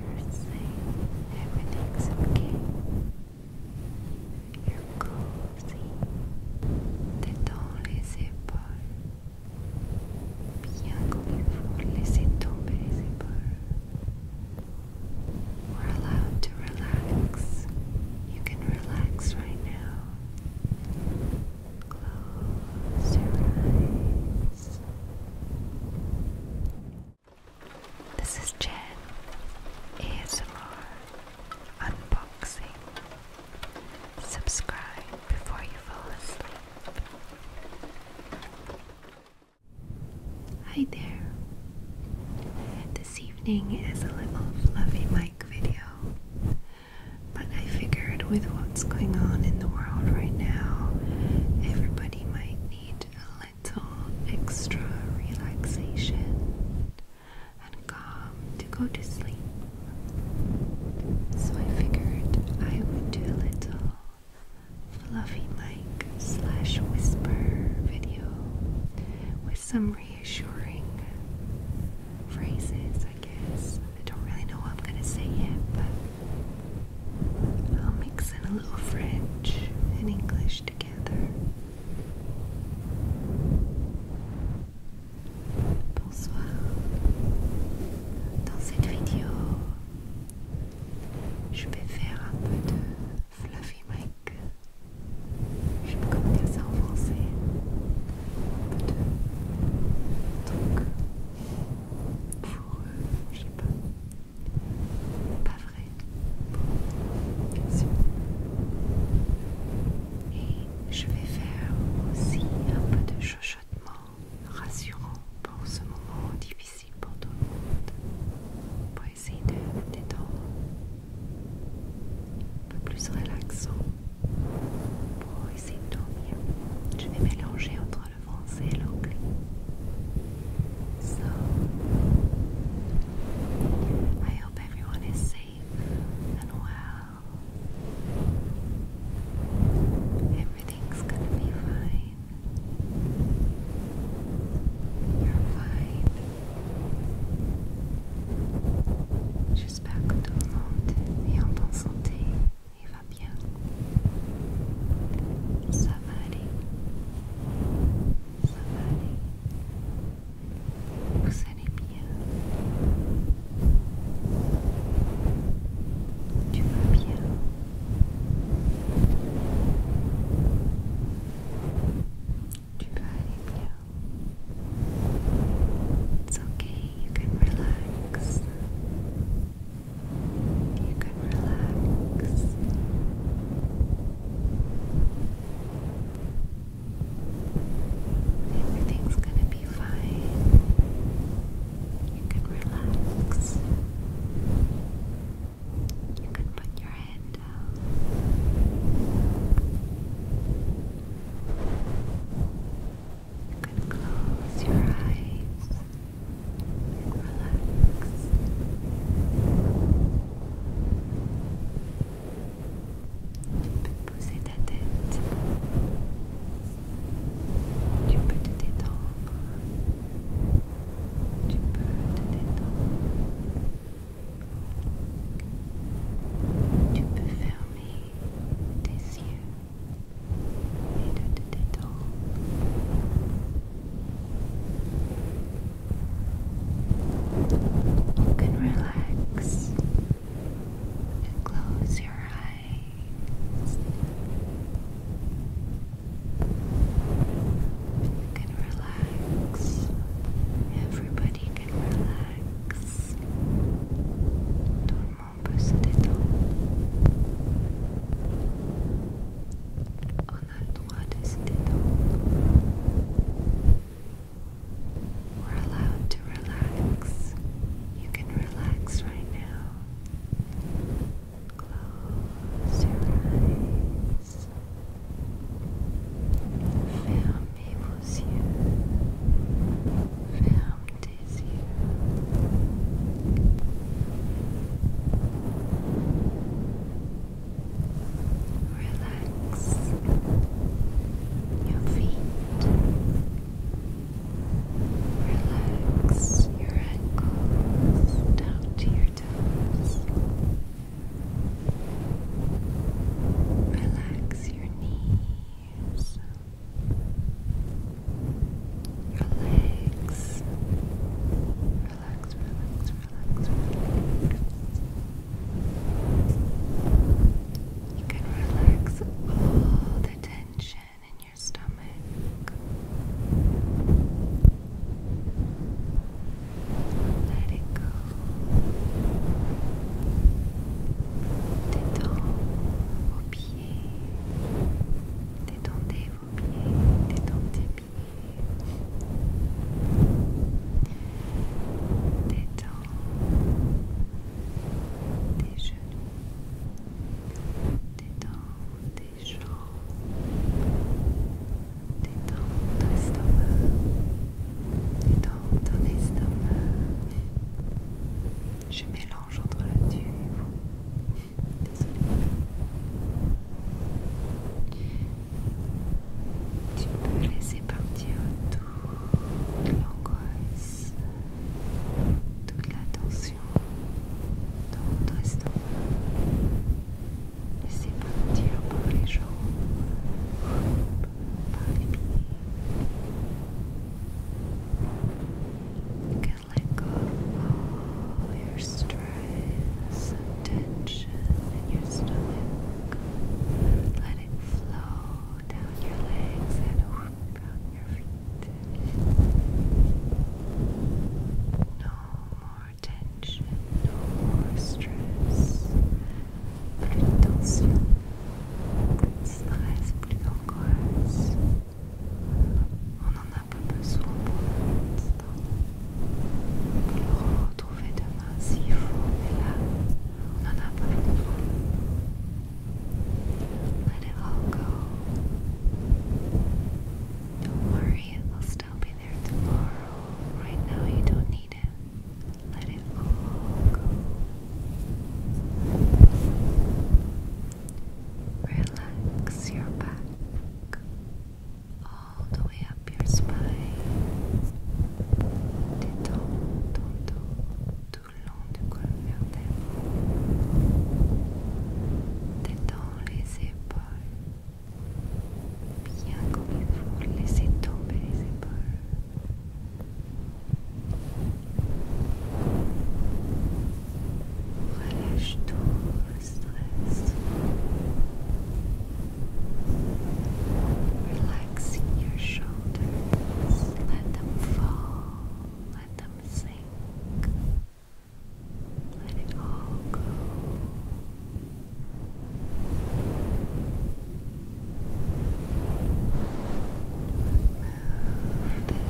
You're safe. Everything's okay. You're cozy. T'es les épaules. Bien comme faut, laissez tomber les épaules. We're allowed to relax. You can relax right now. Close your eyes. This is Jen ASMR Unboxing. Subscribe before you fall asleep. Hi there. This evening is a little fluffy mic video, but I figured with what's going on in the world right now, everybody might need a little extra relaxation and calm to go to sleep. So I figured I would do a little fluffy mic slash whisper video with some reassuring phrases, I guess. I don't really know what I'm gonna say yet, but I'll mix in a little French and English together. Bonsoir. Dans cette vidéo, je vais faire un peu de fluffy mic. Je peux pas dire ça en français. Un peu de truc pour, euh, je sais pas, pas vrai Et je vais faire aussi un peu de chuchotement rassurant pour ce moment difficile pour tout le monde. Pour essayer de détendre. Un peu plus relaxant pour essayer de dormir. Je vais mélanger entre I hope everyone is safe and well. Everything's gonna be fine. You're fine. J'espère que tout le monde est en bonne santé. It's okay, you can relax. You can relax. Everything's gonna be fine. You can relax. You can put your head down. You can close your eyes and relax. Tu peux poser ta tête. Tu peux te détendre. Tu peux te détendre. Tu peux fermer tes yeux. You can relax close your eyes. You can relax. Everybody can relax comment on peut we We're allowed to relax. You can relax right now. Close your eyes. Fermez vos yeux. Ferme Relax your feet. Relax your ankles down to your toes. Relax your knees your legs. Relax, relax, relax, You can relax all the tension in your stomach. Let it go. Détends vos pieds, détendez vos pieds, détendez pieds, détends tes genoux, détends tes jambes, détends ton estomac, détends ton estomac. Je mélange entre la tue et vous. Désolée. Tu peux laisser partir toute l'angoisse, toute la tension dans votre estomac. Laissez partir par les jambes, par les pieds. let go of all your stress and tension in your stomach. Let it flow down your legs and whoop, down your feet. No more tension, no more stress. Plus, plus, plus, plus, plus, plus, let it all go. Don't worry, it will still be there tomorrow. Right now, you don't need it. Let it all go. Relax your back all the way up your spine. Détends ton dos le long du Détends les épaules. Bien comme il faut, laissez tomber les épaules. Relax your shoulders. Let them fall. Let them sink. Let it all go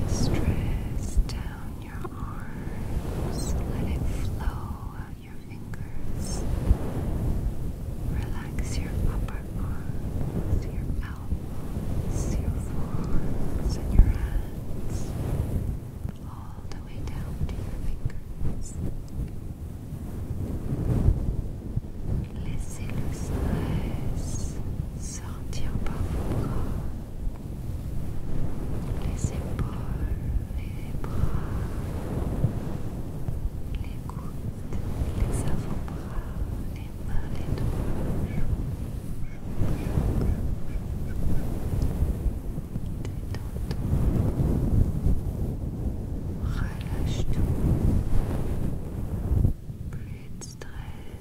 this dress down your arms. Let it flow out your fingers. Relax your upper arms, your elbows, your forearms, and your hands. All the way down to your fingers. laissez sortir par vos corps, les épaules, les bras, les gouttes, les avant-bras, les mains, les doigts, Relâche toi Plus de stress,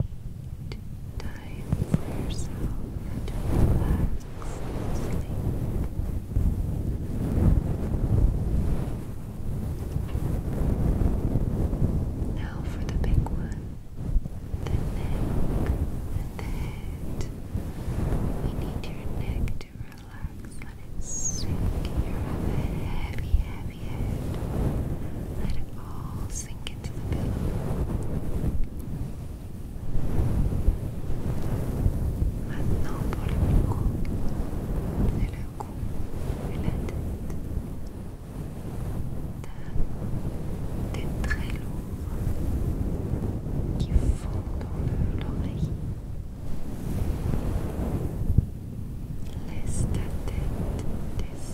you need time for yourself to relax Now for the big one, the neck and the head. We need your neck to relax. Let it sink. You have a heavy, heavy head. Let it all sink Maintenant pour le cou, c'est le cou et la tête. Des très lourds qui font dans l'oreille. Laisse ta tête descendre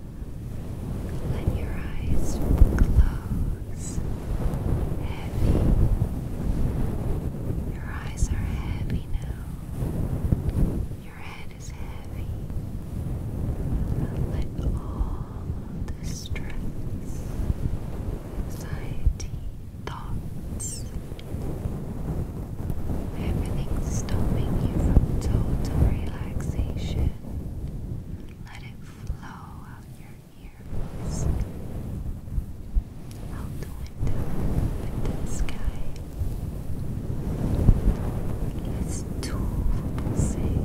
Let your eyes close. Heavy. Your eyes are heavy now. Your head is heavy. Let all the stress, anxiety, thoughts, everything stopping you from total relaxation let it flow out your ears, out the window with the sky. Laisse tout vos pensées,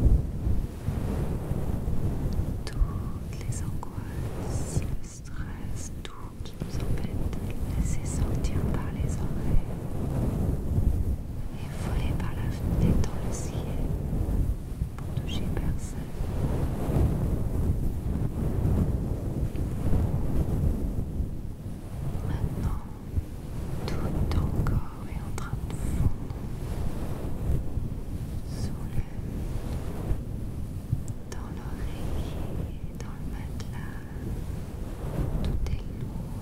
toutes les angoisses, le stress, tout qui nous embête, laissez sortir par les oreilles. et voler par la fenêtre dans le ciel pour toucher personne. Maintenant, tout ton corps est en train de fondre. Soulève dans l'oreiller, dans le matelas. Tout est lourd.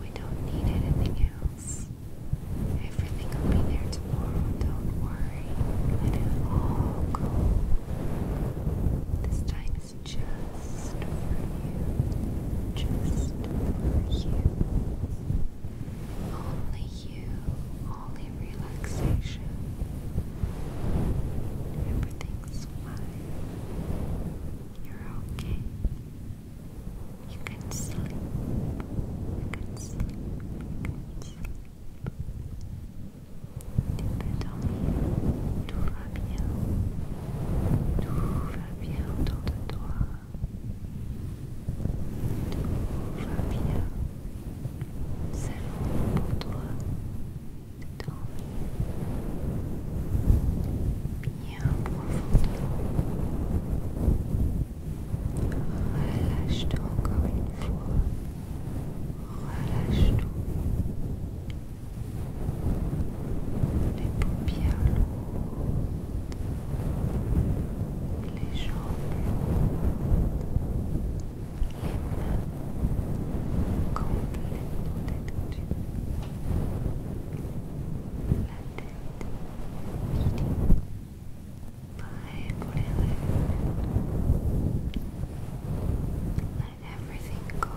We don't need anything else. Everything will be there tomorrow, don't worry. Let it all go. This time is just for you. Just for you. Only you, only relaxation. Everything's is You're okay. You can sleep. You can sleep. You can sleep. Tout va bien. Tout va bien autour de toi. Tout va bien. C'est pour toi. bien profondément. Relâche-toi encore une fois. Relâche-toi. Les paupières lourdes, les jambes lourdes, Let everything go.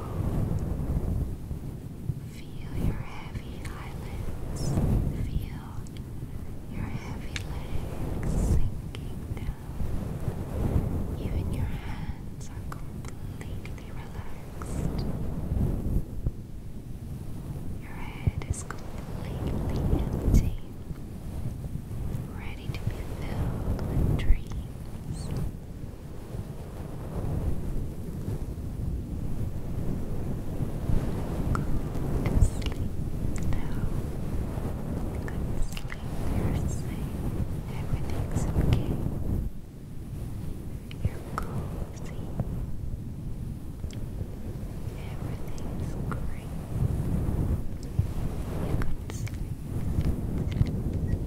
Feel your heavy eyelids. Feel your heavy legs sinking down. Even your hands are completely relaxed. Your head is completely empty, ready to be filled with dreams. Go to sleep now. Go to sleep. You're safe. Everything's okay. You're cozy. Everything's great. You can sleep. You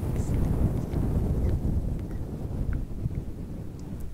can sleep.